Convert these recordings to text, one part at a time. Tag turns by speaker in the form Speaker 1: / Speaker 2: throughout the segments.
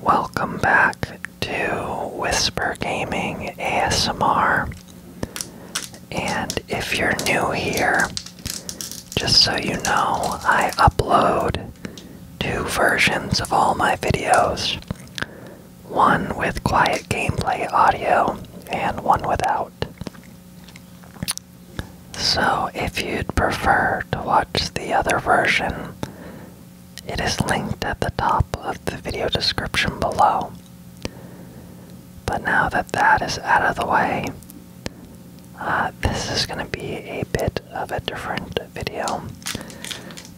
Speaker 1: Welcome back to Whisper Gaming ASMR. And if you're new here, just so you know, I upload two versions of all my videos one with quiet gameplay audio and one without. So, if you'd prefer to watch the other version, it is linked at the top of the video description below. But now that that is out of the way, uh, this is going to be a bit of a different video.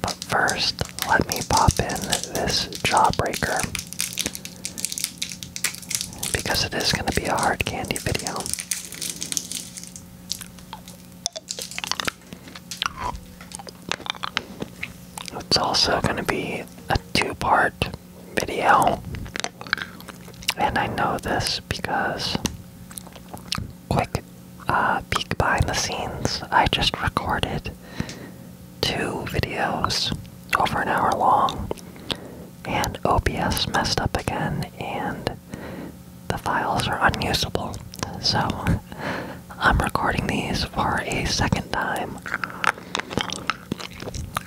Speaker 1: But first, let me pop in this Jawbreaker because it is going to be a hard candy video. It's also going to be a two part video. And I know this because, quick uh, peek behind the scenes, I just recorded two videos over an hour long, and OBS messed up again, and the files are unusable. So I'm recording these for a second time.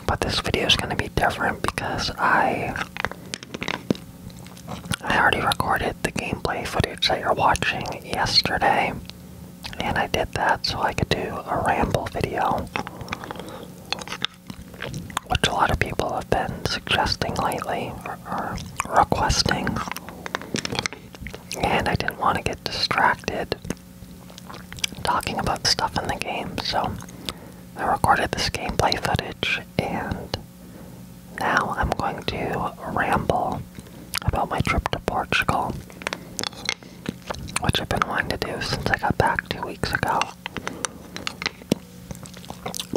Speaker 1: But this video is going to be different because I I already recorded the gameplay footage that you're watching yesterday. And I did that so I could do a ramble video which a lot of people have been suggesting lately or, requesting, and I didn't want to get distracted talking about stuff in the game, so I recorded this gameplay footage, and now I'm going to ramble about my trip to Portugal, which I've been wanting to do since I got back two weeks ago.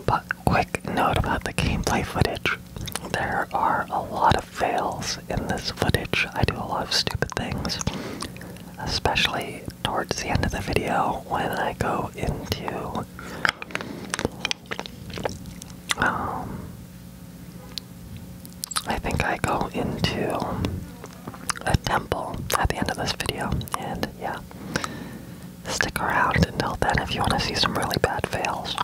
Speaker 1: But quick note about the gameplay footage. There are a lot of fails in this footage. I do a lot of stupid things, especially towards the end of the video when I go into um I think I go into a temple at the end of this video and yeah stick around until then if you want to see some really bad fails.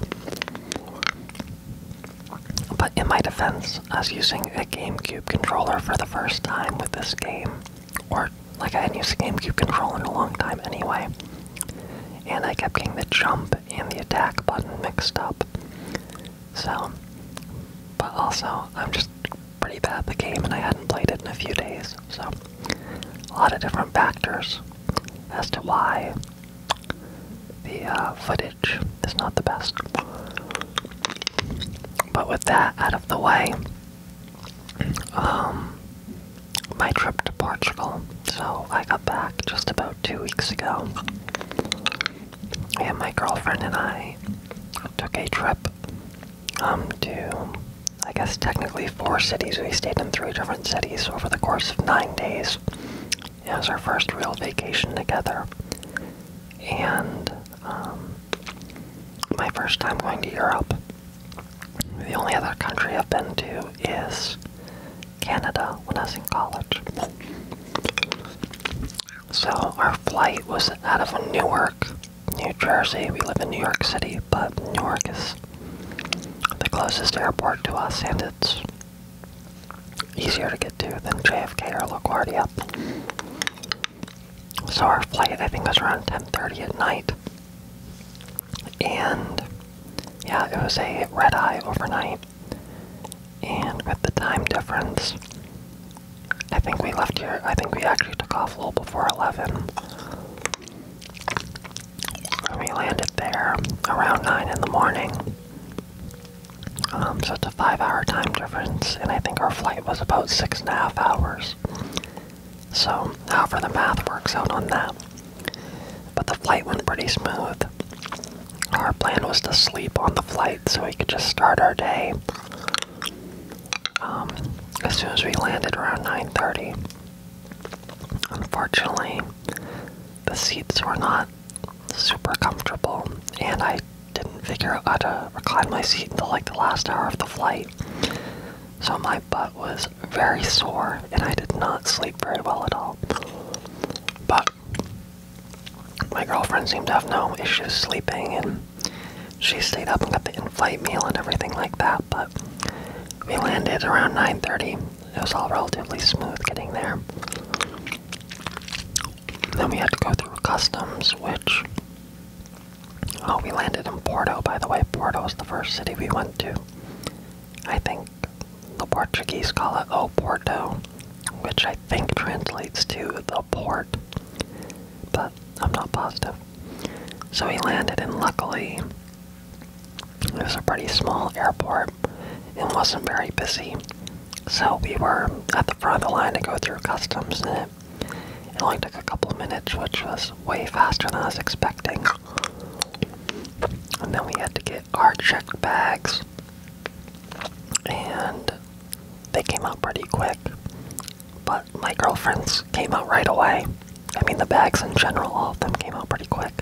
Speaker 1: But in my defense, I was using a GameCube controller for the first time with this game, or like I hadn't used a GameCube controller in a long time anyway, and I kept getting the jump and the attack button mixed up. So, but also, I'm just pretty bad the game, and I hadn't played it in a few days. So, a lot of different factors as to why the uh, footage is not the best. But with that out of the way, um, my trip to Portugal. So I got back just about two weeks ago, and my girlfriend and I took a trip um, to I guess technically four cities. We stayed in three different cities over the course of nine days. It was our first real vacation together. And um, my first time going to Europe. The only other country I've been to is Canada when I was in college. So our flight was out of Newark New Jersey. We live in New York City, but New York is the closest airport to us, and it's easier to get to than JFK or LaGuardia. So our flight, I think, was around 10:30 at night, and yeah, it was a red eye overnight, and with the time difference. I think we left here. I think we actually took off a little before 11 we landed there around 9 in the morning. Um, so it's a five hour time difference, and I think our flight was about six and a half hours. So, however, the math works out on that. But the flight went pretty smooth. Our plan was to sleep on the flight so we could just start our day um, as soon as we landed around 9.30 unfortunately the seats were not super comfortable and i didn't figure out how to recline my seat until like the last hour of the flight so my butt was very sore and i did not sleep very well at all but my girlfriend seemed to have no issues sleeping and she stayed up and got the in-flight meal and everything like that, but we landed around 9.30. It was all relatively smooth getting there. Then we had to go through customs, which... Oh, we landed in Porto, by the way. Porto is the first city we went to. I think the Portuguese call it Oporto, which I think translates to the port. But I'm not positive. So we landed, and luckily, it was a pretty small airport and wasn't very busy. So we were at the front of the line to go through customs, and it, it only took a couple of minutes, which was way faster than I was expecting. And then we had to get our checked bags, and they came out pretty quick. But my girlfriends came out right away. I mean, the bags in general, all of them came out pretty quick.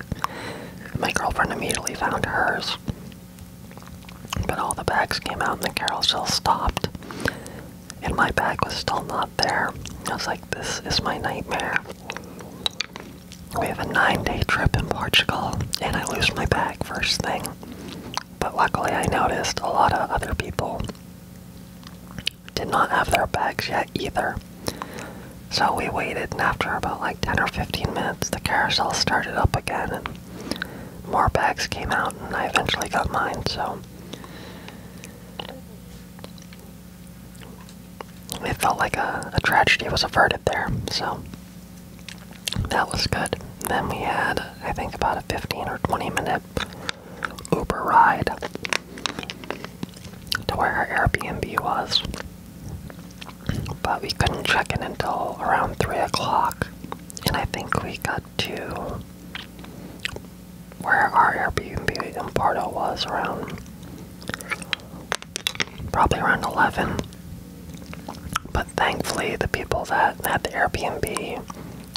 Speaker 1: My girlfriend immediately found hers. But all the bags came out and the carousel stopped. And my bag was still not there. I was like, this is my nightmare. We have a nine day trip in Portugal, and I lose my bag first thing. But luckily, I noticed a lot of other people did not have their bags yet either. So we waited, and after about like 10 or 15 minutes, the carousel started up again, and more bags came out, and I eventually got mine. So it felt like a, a tragedy was averted there. So that was good. Then we had, I think, about a 15 or 20 minute Uber ride to where our Airbnb was. But we couldn't check in until around 3 o'clock. And I think we got to where our Airbnb in Porto was around probably around 11. But thankfully, the people that had the Airbnb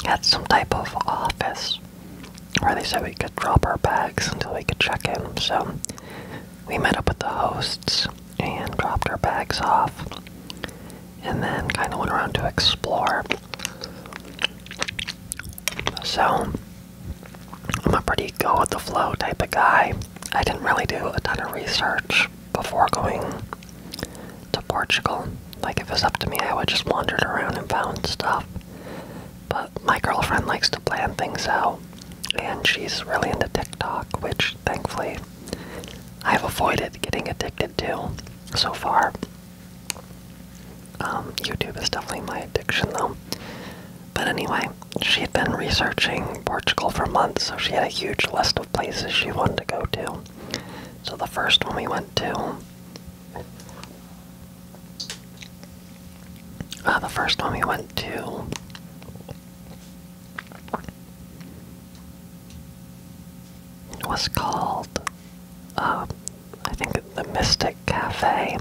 Speaker 1: had some type of office where they said we could drop our bags until we could check in. So we met up with the hosts and dropped our bags off, and then kind of went around to explore. So I'm a pretty go with the flow type of guy. I didn't really do a ton of research before going to Portugal. Like, if it was up to me, I would just wandered around and found stuff. But my girlfriend likes to plan things out, and she's really into TikTok, which thankfully I've avoided getting addicted to so far. Um, YouTube is definitely my addiction, though. But anyway, she had been researching Portugal for months, so she had a huge list of places she wanted to go to. So the first one we went to uh, the first one we went to. Was called, um, I think, the Mystic Cafe,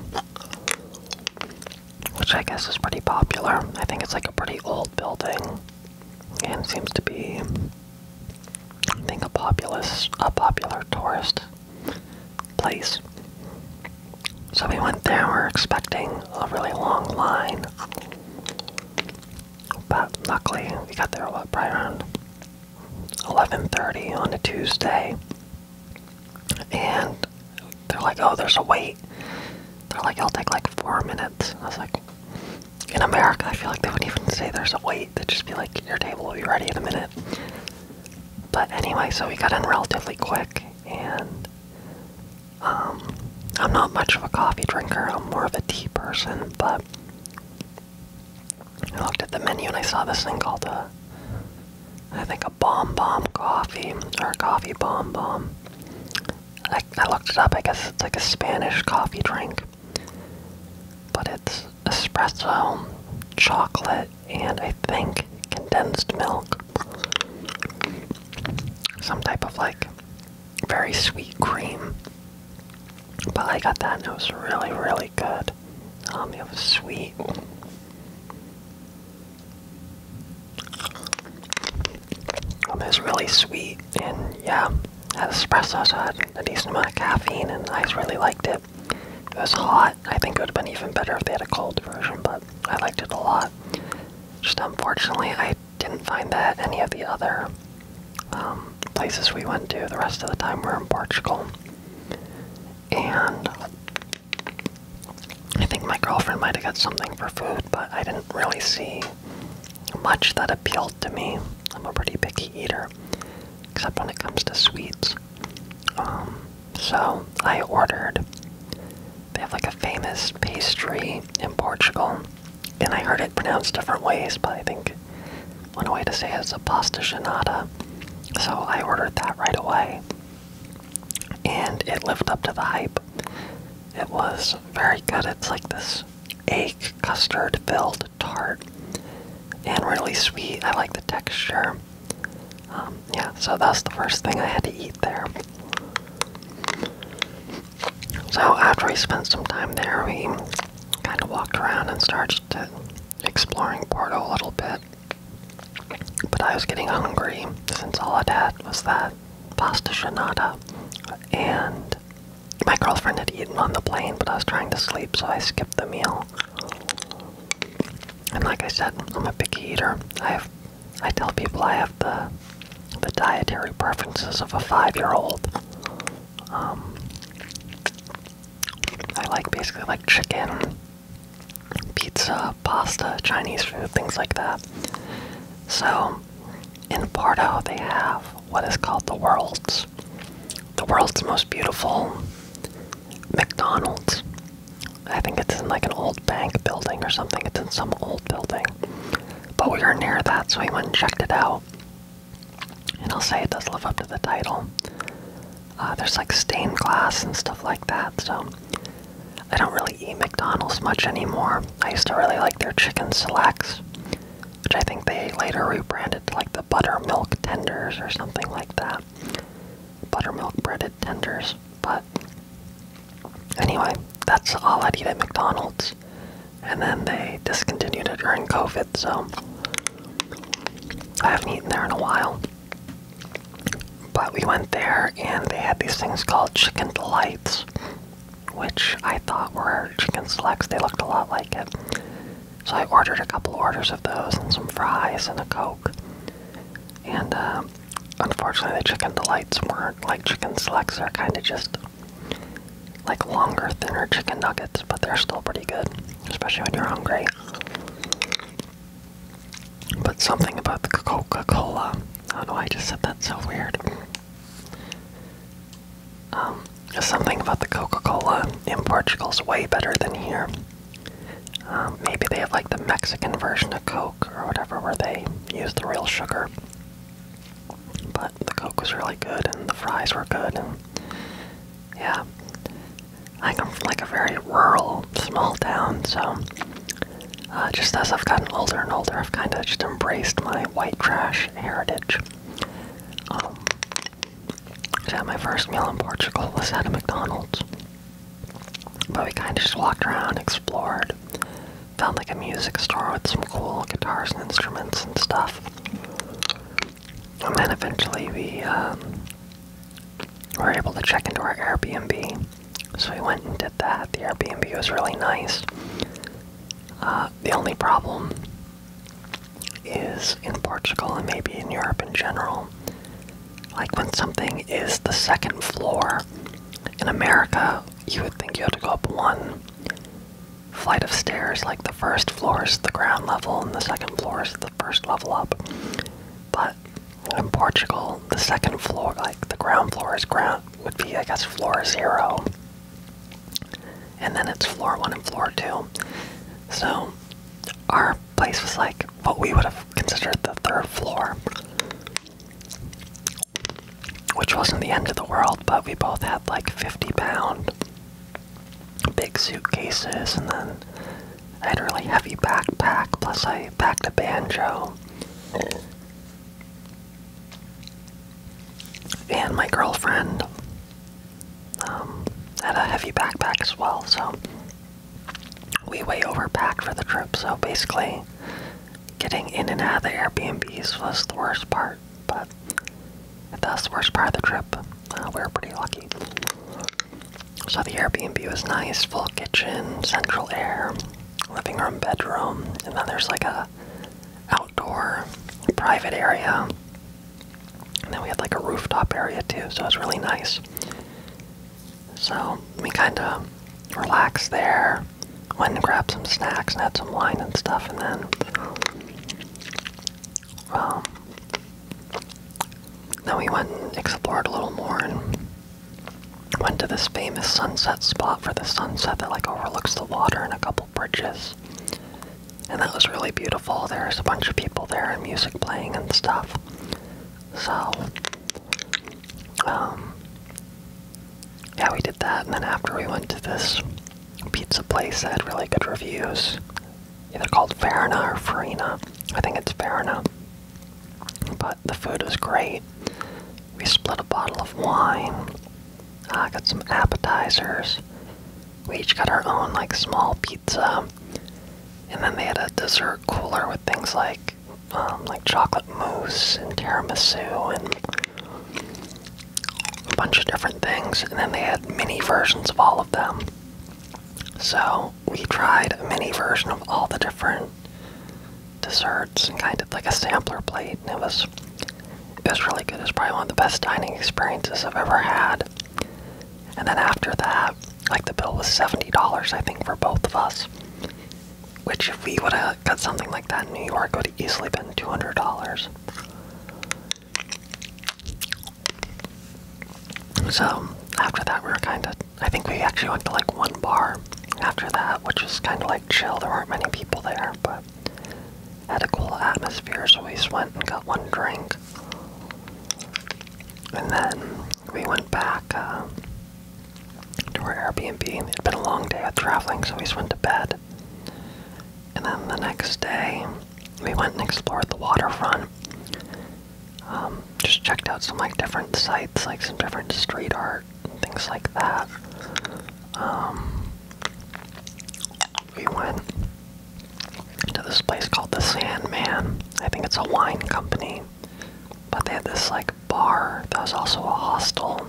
Speaker 1: which I guess is pretty popular. I think it's like a pretty old building and seems to be I think a populous, a popular tourist place. So we went there. We are expecting a really long line, but luckily we got there what, probably around 11:30 on a Tuesday. And they're like, "Oh, there's a wait." They're like, "It'll take like four minutes." I was like, "In America, I feel like they wouldn't even say there's a wait. They'd just be like, your table will be ready in a minute. But anyway, so we got in relatively quick, and um, I'm not much of a coffee drinker. I'm more of a tea person, but I looked at the menu and I saw this thing called a, I think a bomb bomb coffee or a coffee bomb bomb. I looked it up. I guess it's like a Spanish coffee drink. But it's espresso, chocolate, and I think condensed milk. Some type of like very sweet cream. But I got that and it was really, really good. Um, it was sweet. Um, it was really sweet and yeah, had espresso so I a decent amount of caffeine and I really liked it it. If it was hot, I think it would have been even better if they had a cold version, but I liked it a lot. Just unfortunately, I didn't find that any of the other um, places we went to. The rest of the time we were in Portugal. And I think my girlfriend might have got something for food, but I didn't really see much that appealed to me. I'm a pretty picky eater except when it comes to sweets. Um, so I ordered. They have like a famous pastry in Portugal, and I heard it pronounced different ways, but I think one way to say it is a pasta genada. So I ordered that right away, and it lived up to the hype. It was very good. It's like this egg custard filled tart and really sweet. I like the texture. Um, yeah, so that's the first thing I had to eat there. So after we spent some time there, we kind of walked around and started exploring Porto a little bit. But I was getting hungry since all i had was that pasta shanada. And my girlfriend had eaten on the plane, but I was trying to sleep, so I skipped the meal. And like I said, I'm a picky eater. I have, I tell people I have the, the dietary preferences of a five-year-old. Um, I like basically like chicken, pizza, pasta, Chinese food, things like that. So in Porto, they have what is called the world's the world's most beautiful McDonald's. I think it's in like an old bank building or something. It's in some old building. But we were near that, so we went and checked it out. And I'll say it does live up to the title. Uh, there's like stained glass and stuff like that, so I don't really eat McDonald's much anymore. I used to really like their chicken selects, which I think they later rebranded to like the the buttermilk tenders or something like that. Buttermilk breaded tenders. But anyway, that's all I'd eat at McDonald's. And then they discontinued it during COVID, so I haven't eaten there in a while. But we went there and they had these things called chicken delights, which I thought were chicken selects. They looked a lot like it. So I ordered a couple orders of those and some fries and a Coke. And uh, unfortunately, the chicken delights weren't like chicken slacks. are kind of just like longer, thinner chicken nuggets, but they're still pretty good, especially when you're hungry. But something about the Coca Cola. I don't know, I just said that so weird. Um, something about the Coca Cola in Portugal is way better than here. Um, maybe they have like the Mexican version of Coke or whatever where they use the real sugar. But the Coke was really good and the fries were good yeah. I come from like a very rural, small town, so uh, just as I've gotten older and older, I've kind of just embraced my white trash heritage. Um, had my first meal in Portugal was at McDonald's. But we kind of just walked around, explored, found like a music store with some cool guitars and instruments and stuff. And then eventually we um, were able to check into our Airbnb. So we went and did that. The Airbnb was really nice. Uh, the only problem is in Portugal and maybe in Europe in general. Like when something is the second floor in America, you would think you have to go up one flight of stairs. Like the first floor is the ground level, and the second floor is the first level up. But in Portugal, the second floor, like the ground floor, is ground would be, I guess, floor zero and then it's floor one and floor two. So our place was like what we would have considered the third floor, which wasn't the end of the world, but we both had like 50 pound big suitcases, and then I had a really heavy backpack, plus I packed a banjo. And my girlfriend um, had a heavy backpack as well, so we way overpacked for the trip. So basically, getting in and out of the Airbnbs was the worst part, but that's the worst part of the trip. Uh, we were pretty lucky. So the Airbnb was nice, full kitchen, central air, living room, bedroom, and then there's like a outdoor private area and then we had like a rooftop area too, so it was really nice. So we kind of relaxed there, went and grabbed some snacks and had some wine and stuff, and then, um, then we went and explored a little more and went to this famous sunset spot for the sunset that like overlooks the water and a couple bridges and that was really beautiful. There was a bunch of people there and music playing and stuff. So, um, yeah, we did that, and then after we went to this pizza place that had really good reviews, either called Farina or Farina. I think it's Farina. But the food was great. We split a bottle of wine. I uh, got some appetizers we each got our own like small pizza, and then they had a dessert cooler with things like um, like chocolate mousse and tiramisu and a bunch of different things, and then they had mini versions of all of them. So we tried a mini version of all the different desserts and kind of like a sampler plate, and it was it was really good. It was probably one of the best dining experiences I've ever had. And then after that, like the bill was $70, I think, for both of us. Which, if we would have got something like that in New York, would have easily been $200. So, after that, we were kind of. I think we actually went to like one bar after that, which was kind of like chill. There weren't many people there, but. Had a cool atmosphere, so we just went and got one drink. And then we went back uh, to our Airbnb. And It'd been a long day of traveling, so we just went to bed. And then the next day, we went and explored the waterfront. Um, just checked out some like different sites, like some different street art things like that. Um, we went to this place called the Sandman. I think it's a wine company. But they had this like bar that was also a hostel.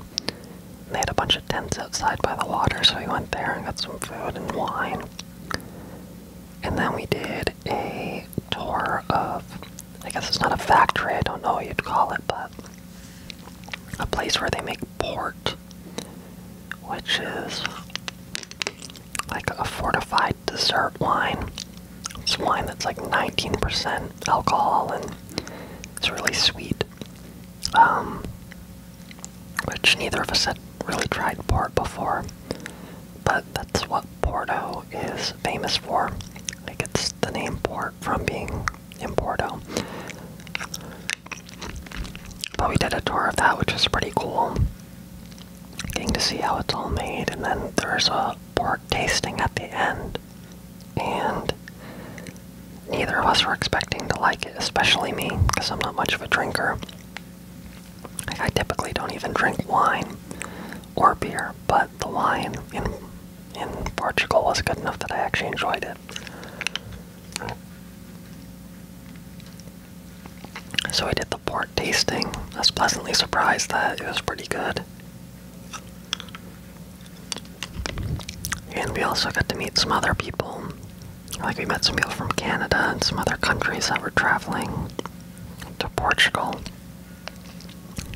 Speaker 1: they had a bunch of tents outside by the water, so we went there and got some food and wine. And then we did a tour of I guess it's not a factory, I don't know what you'd call it, but a place where they make port, which is like a fortified dessert wine. It's wine that's like 19% alcohol and it's really sweet. Um, which neither of us had really tried port before, but that's what Porto is famous for. Like it's the name port from being in Porto. But we did a tour of that, which was pretty cool. Getting to see how it's all made, and then there's a pork tasting at the end. And neither of us were expecting to like it, especially me, because I'm not much of a drinker. I typically don't even drink wine or beer, but the wine in in Portugal was good enough that I actually enjoyed it. So I did the pork tasting. I was pleasantly surprised that it was pretty good. And we also got to meet some other people. Like we met some people from Canada and some other countries that were traveling to Portugal.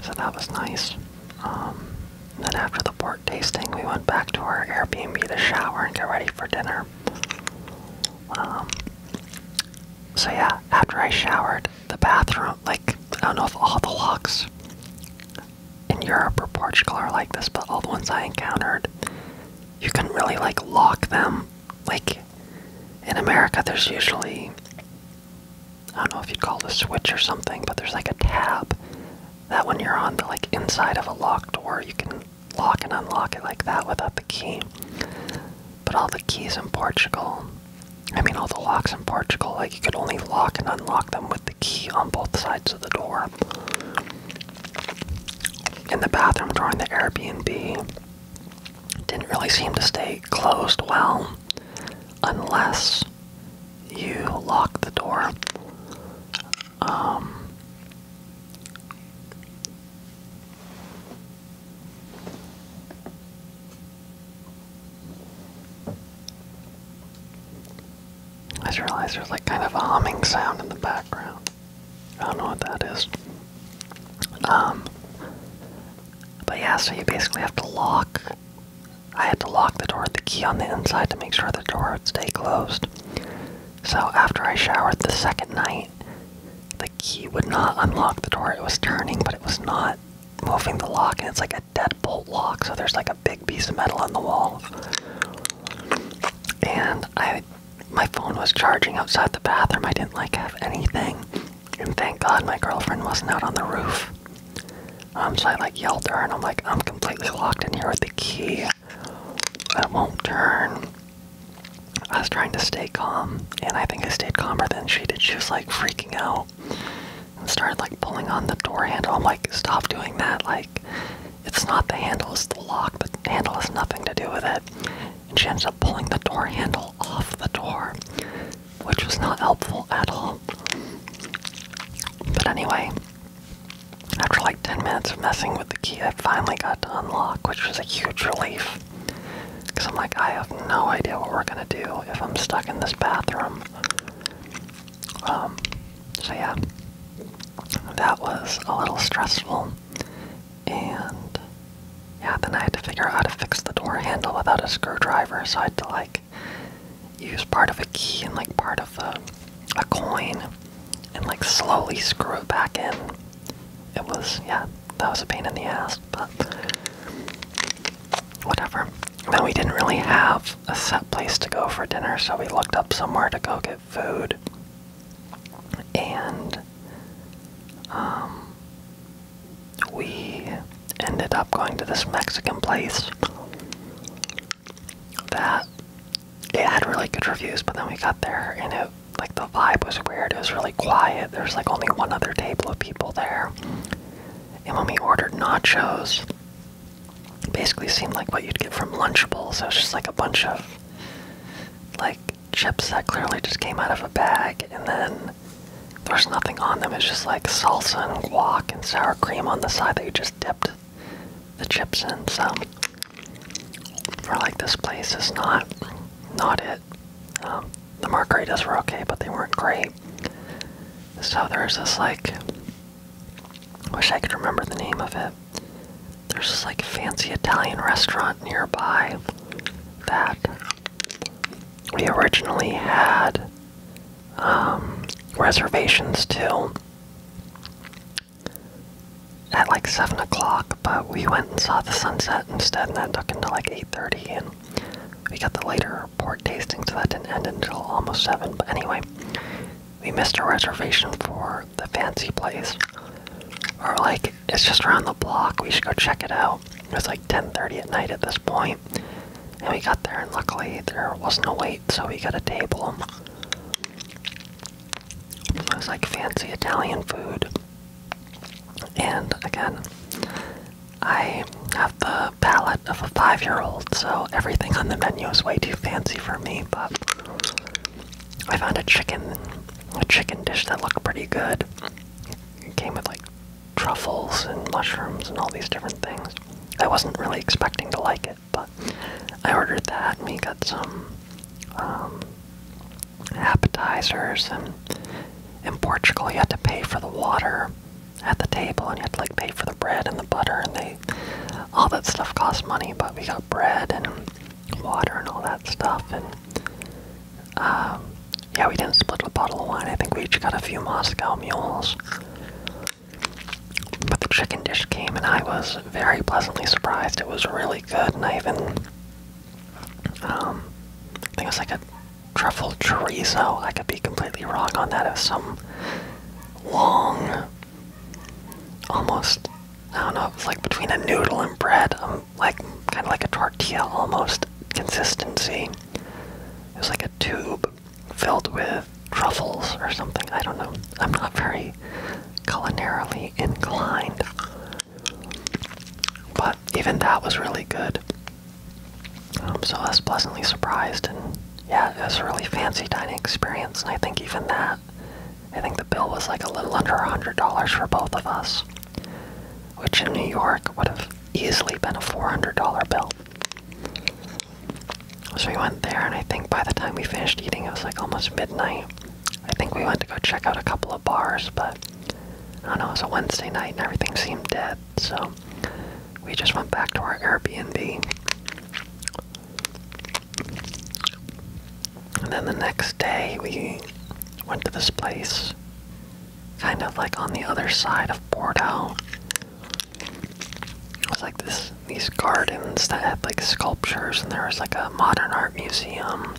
Speaker 1: So that was nice. Um, then after the pork tasting, we went back to our Airbnb to shower and get ready for dinner. Um, so yeah, after I showered, the bathroom, like, I don't know if all the locks in Europe or Portugal are like this, but all the ones I encountered, you can really, like, lock them. Like, in America, there's usually, I don't know if you'd call it a switch or something, but there's like a tab that when you're on the, like, inside of a locked door, you can lock and unlock it like that without the key. But all the keys in Portugal, I mean, all the locks in Portugal, like you could only lock and unlock them with the key on both sides of the door. In the bathroom during the Airbnb, didn't really seem to stay closed well unless you lock the door. Um, I just realized there's like kind of a humming sound in the background. I don't know what that is. Um, but yeah, so you basically have to lock. I had to lock the door with the key on the inside to make sure the door would stay closed. So after I showered the second night, the key would not unlock the door. It was turning, but it was not moving the lock, and it's like a deadbolt lock, so there's like a big piece of metal on the wall. And I my phone was charging outside the bathroom. I didn't like have anything. And thank God my girlfriend wasn't out on the roof. Um, so I like yelled at her and I'm like, I'm completely locked in here with the key. I won't turn. I was trying to stay calm, and I think I stayed calmer than she did. She was like freaking out and started like pulling on the door handle. I'm like, stop doing that. Like, it's not the handle, it's the lock. The handle has nothing to do with it. And she ends up pulling the door handle off the door, which was not helpful at all. But anyway, after like 10 minutes of messing with the key, I finally got to unlock, which was a huge relief. Because I'm like, I have no idea what we're going to do if I'm stuck in this bathroom. Um, so yeah, that was a little stressful. And yeah, then I had to figure out how to fix the door handle without a screwdriver, so I had to like use part of a key and like part of the a coin and like slowly screw it back in. It was, yeah, that was a pain in the ass, but whatever. Then we didn't really have a set place to go for dinner, so we looked up somewhere to go get food. And um, we ended up going to this Mexican place that it had really good reviews, but then we got there and it like the vibe was weird. It was really quiet. There's like only one other table of people there. And when we ordered nachos, it basically seemed like what you'd get from Lunchables. So it was just like a bunch of like chips that clearly just came out of a bag, and then there's nothing on them. It's just like salsa and guac and sour cream on the side that you just dipped the chips and some for like this place is not not it. Um, the margaritas were okay, but they weren't great. So there's this like wish I could remember the name of it. There's this like fancy Italian restaurant nearby that we originally had um, reservations to, at like seven o'clock, but we went and saw the sunset instead, and that took until like eight thirty, and we got the later port tasting, so that didn't end until almost seven. But anyway, we missed a reservation for the fancy place. Or like it's just around the block. We should go check it out. It was like ten thirty at night at this point, and we got there, and luckily there wasn't a wait, so we got a table. It was like fancy Italian food. And again, I have the palate of a five year old, so everything on the menu is way too fancy for me, but I found a chicken a chicken dish that looked pretty good. It came with like truffles and mushrooms and all these different things. I wasn't really expecting to like it. But I ordered that and we got some um, appetizers. And in Portugal, you had to pay for the water at the table and you had to like pay for the bread and the butter and they all that stuff costs money but we got bread and water and all that stuff and um, yeah we didn't split a bottle of wine i think we each got a few moscow mules but the chicken dish came, and I was very pleasantly surprised. It was really good, and I even, um, I think it was like a truffle chorizo. I could be completely wrong on that. It was some long, almost, I don't know, it was like between a noodle and bread, um, like kind of like a tortilla almost consistency. It was like a tube filled with truffles or something. I don't know. I'm not very culinarily inclined. But even that was really good. I'm um, so pleasantly surprised, and yeah, it was a really fancy dining experience. And I think even that, I think the bill was like a little under a hundred dollars for both of us, which in New York would have easily been a four hundred dollar bill. So we went there, and I think by the time we finished eating, it was like almost midnight. I think we went to go check out a couple of bars, but I don't know, it was a Wednesday night and everything seemed dead, so we just went back to our Airbnb. And then the next day, we went to this place, kind of like on the other side of Bordeaux. It was like this these gardens that had like sculptures, and there was like a modern art museum,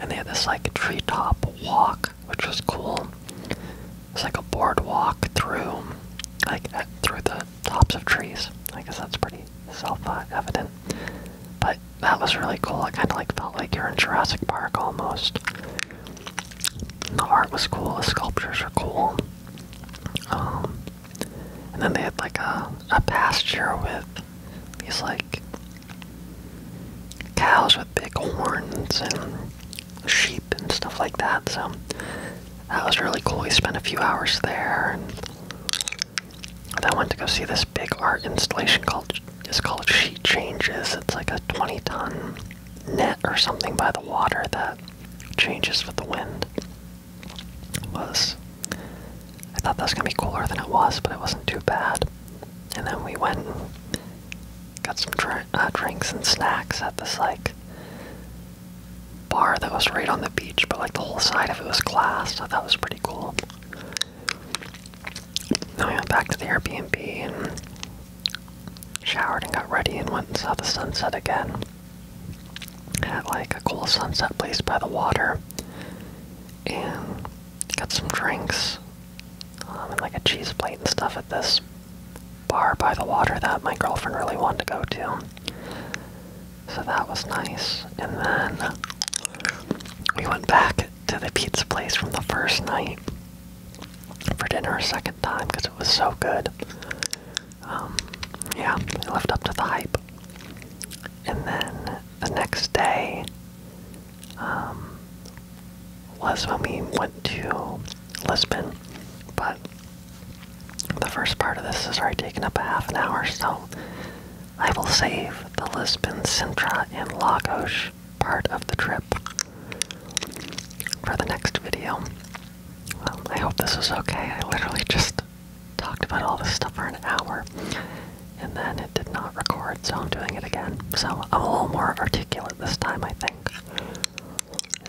Speaker 1: and they had this like treetop walk, which was cool. It's like a boardwalk through, like through the tops of trees. I guess that's pretty self-evident, but that was really cool. I kind of like felt like you're in Jurassic Park almost. The art was cool. The sculptures were cool. Um, and then they had like a, a pasture with these like cows with big horns and sheep and stuff like that. So that was really cool. We spent a few hours there. And then I went to go see this big art installation called it's called Sheet Changes. It's like a 20 ton net or something by the water that changes with the wind was I thought that was gonna be cooler than it was, but it wasn't too bad. And then we went got some uh, drinks and snacks at this like bar that was right on the beach, but like the whole side of it was glass. So that was pretty cool. Then we went back to the Airbnb and showered and got ready and went and saw the sunset again at like a cool sunset place by the water and got some drinks um, and like a cheese plate and stuff at this bar by the water that my girlfriend really wanted to go to. So that was nice. And then we went back to the pizza place from the first night for dinner a second time because it was so good um, yeah, I lived up to the hype. And then the next day um, was when we went to Lisbon, but the first part of this is already taken up a half an hour, so I will save the Lisbon, Sintra, and Lagos part of the trip for the next video. Um, I hope this is okay. I literally just talked about all this stuff for an hour and then it did not record, so I'm doing it again. So I'm a little more articulate this time, I think.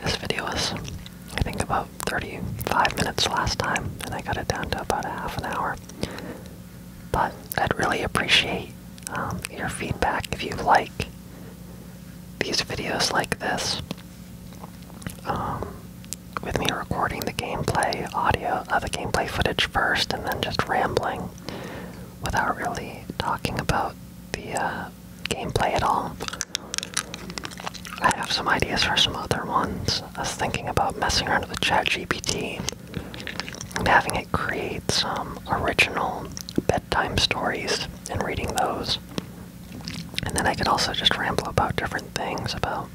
Speaker 1: This video is, I think, about 35 minutes last time, and I got it down to about a half an hour. But I'd really appreciate um, your feedback if you like these videos like this. Um, with me recording the gameplay audio, of the gameplay footage first, and then just rambling without really talking about the uh, gameplay at all. I have some ideas for some other ones. I was thinking about messing around with ChatGPT and having it create some original bedtime stories and reading those. And then I could also just ramble about different things about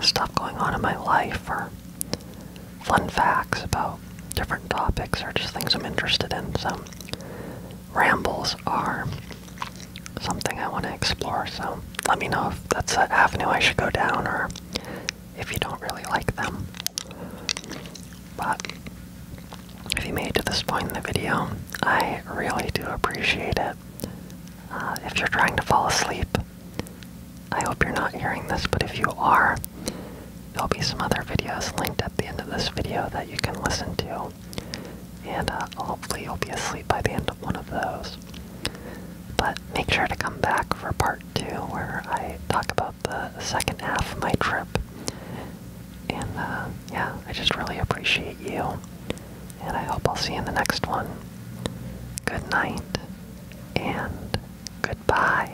Speaker 1: stuff going on in my life or fun facts about different topics or just things I'm interested in. So rambles are something I want to explore. So let me know if that's an avenue I should go down or if you don't really like them. But if you made to this point in the video, I really do appreciate it. Uh, if you're trying to fall asleep, I hope you're not hearing this, but if you are, there'll be some other videos linked at the end of this video that you can listen to. And uh, hopefully you'll be asleep by the end of one of those. But make sure to come back for part two, where I talk about the second half of my trip. And uh, yeah, I just really appreciate you and I hope I'll see you in the next one. Good night and goodbye.